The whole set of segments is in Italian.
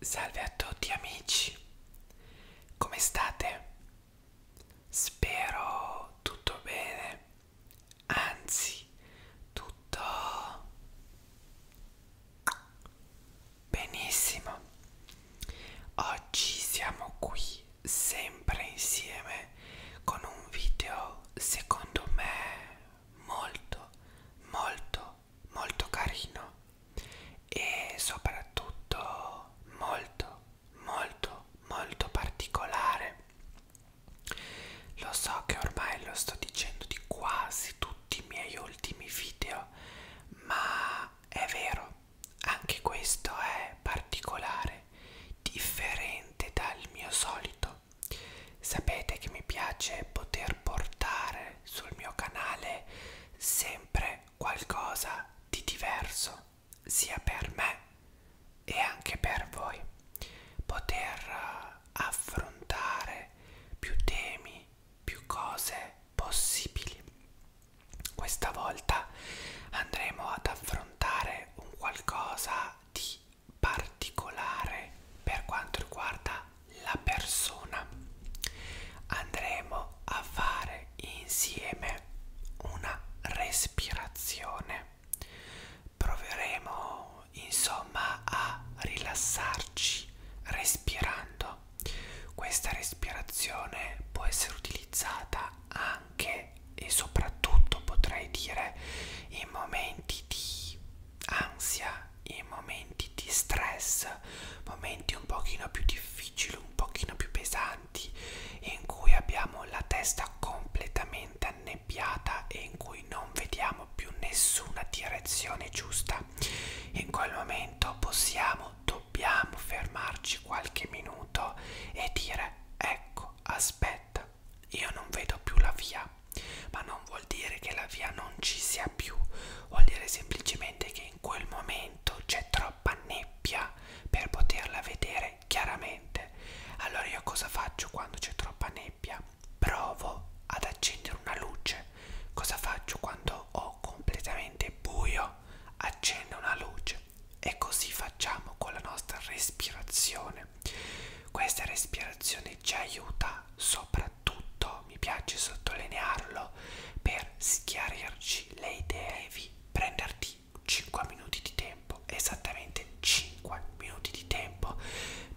Salve a tutti amici, come state? Spero tutto bene, anzi tutto benissimo. Oggi siamo qui sempre insieme con un video secondo me molto molto molto carino e soprattutto molto molto molto particolare lo so che ormai lo sto dicendo di quasi tutti i miei ultimi video ma è vero anche questo è particolare differente dal mio solito sapete che mi piace poter portare sul mio canale sempre qualcosa di diverso sia per me e anche per voi poter eh, affrontare più temi più cose possibili questa volta andremo ad affrontare un qualcosa di particolare per quanto riguarda la persona andremo a fare insieme una respirazione proveremo insomma a rilassarci respirando questa respirazione può essere utilizzata anche e soprattutto potrei dire in momenti di ansia, in momenti di stress, momenti un pochino più difficili, un pochino più pesanti, in cui abbiamo la testa completamente annebbiata e in cui non vediamo più nessuna direzione giusta. In quel momento possiamo, dobbiamo fermarci qualche minuto e dire ecco, aspetta, io non vedo più la via ma non vuol dire che la via non ci sia più, vuol dire semplicemente che in quel momento c'è troppa nebbia per poterla vedere chiaramente. Allora io cosa faccio quando c'è troppa nebbia? Provo ad accendere una luce. Cosa faccio quando ho completamente buio? Accendo una luce e così facciamo con la nostra respirazione. Questa respirazione ci aiuta soprattutto soprattutto mi piace sottolinearlo per schiarirci le idee devi prenderti 5 minuti di tempo esattamente 5 minuti di tempo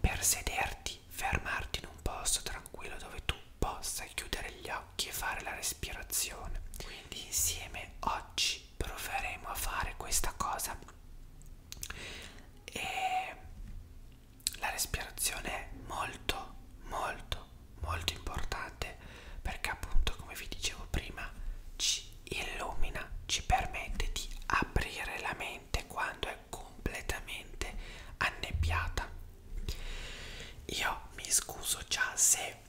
per sederti fermarti in un posto tranquillo dove tu possa chiudere gli occhi e fare la respirazione quindi insieme oggi proveremo a fare questa cosa e la respirazione è molto molto molto importante perché appunto come vi dicevo prima ci illumina ci permette di aprire la mente quando è completamente annebbiata io mi scuso già se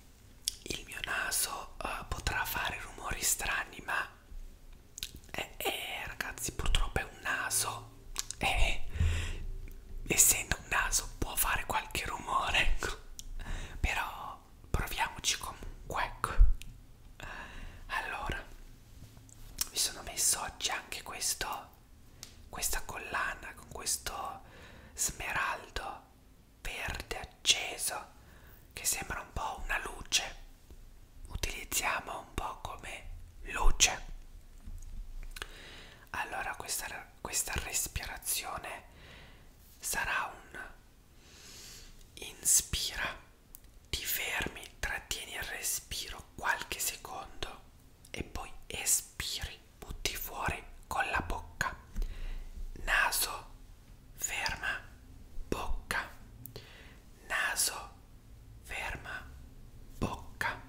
il mio naso uh, potrà fare rumori strani ma eh, eh, ragazzi purtroppo è un naso e eh, essendo un naso può fare qualche rumore ecco. però proviamoci comunque ecco. allora mi sono messo oggi anche questo questa collana con questo smeraldo verde acceso che sembra un po' una luce utilizziamo un po' come luce allora questa, questa respirazione sarà un inspira ti fermi trattieni il respiro qualche secondo e poi espiri butti fuori con la bocca naso ferma bocca naso ferma bocca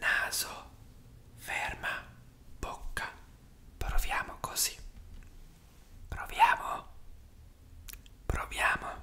naso ferma bocca proviamo così proviamo proviamo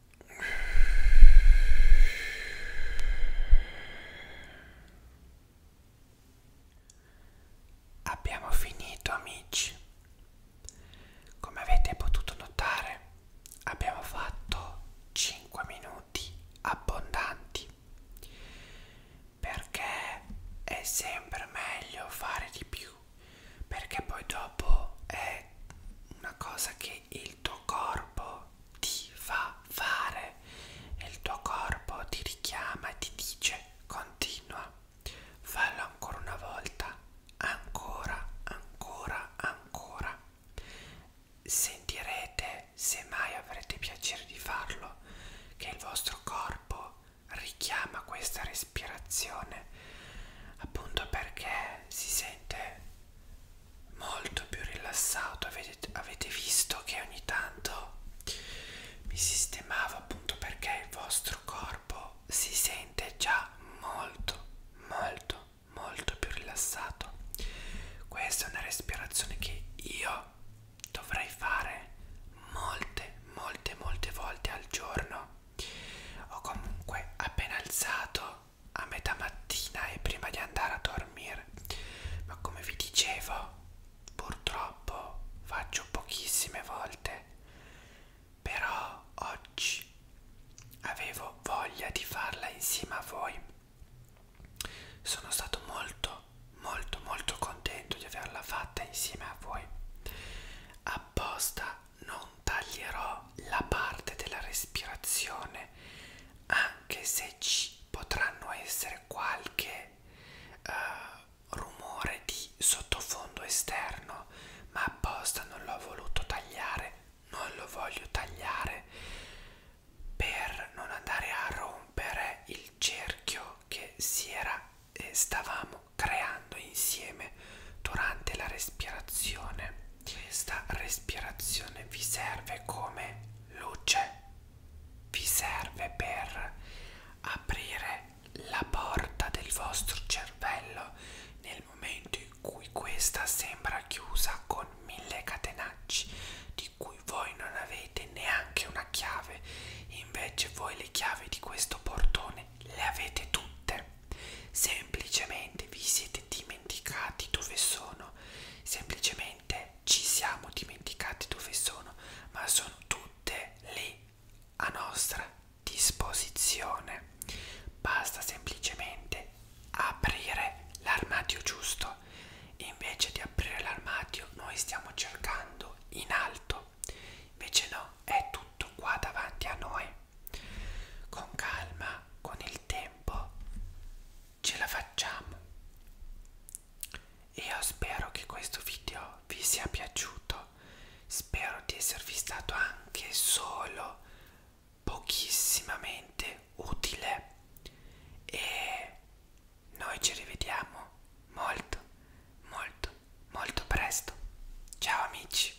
Abbiamo finito amici. Come avete potuto notare, abbiamo fatto 5 minuti abbondanti. Perché è sempre meglio fare di più, perché poi dopo è una cosa che che il tuo corpo ti fa fare, il tuo corpo ti richiama, ti dice continua, fallo ancora una volta, ancora, ancora, ancora. Sentirete, se mai avrete piacere di farlo, che il vostro corpo richiama questa respirazione appunto perché si sente molto più rilassato avete, avete visto che ogni tanto mi sistemavo appunto perché il vostro corpo si sente già molto molto molto più rilassato questa è una respirazione che io dovrei fare molte molte molte volte al giorno o comunque appena alzato a metà mattina e prima di andare a dormire ma come vi dicevo purtroppo faccio pochissime volte però oggi avevo voglia di farla insieme a voi sono stato molto molto molto contento di averla fatta insieme a voi apposta non taglierò la parte della respirazione anche se ci potranno essere qualche eh, rumore di sottofondo esterno ma apposta non l'ho voluto tagliare non lo voglio tagliare per non andare a rompere il cerchio che si era e eh, stavamo creando insieme durante la respirazione questa respirazione vi serve come luce, vi serve per aprire la porta del vostro cervello nel momento in cui questa sembra chiusa con mille catenacci di cui voi non avete neanche una chiave invece voi le chiavi di questo portone le avete tutte semplicemente vi siete dimenticati dove sono, semplicemente ci siamo dimenticati dove sono, ma sono tutte lì a nostra disposizione. Basta semplicemente aprire l'armadio giusto. Invece di aprire l'armadio noi stiamo cercando in alto. Invece no, è tutto qua davanti a noi. Con calma, con il tempo, ce la facciamo. Io spero che questo video vi sia piaciuto. Spero di esservi stato anche solo pochissimamente utile. E noi ci rivediamo molto, molto, molto presto. Ciao amici!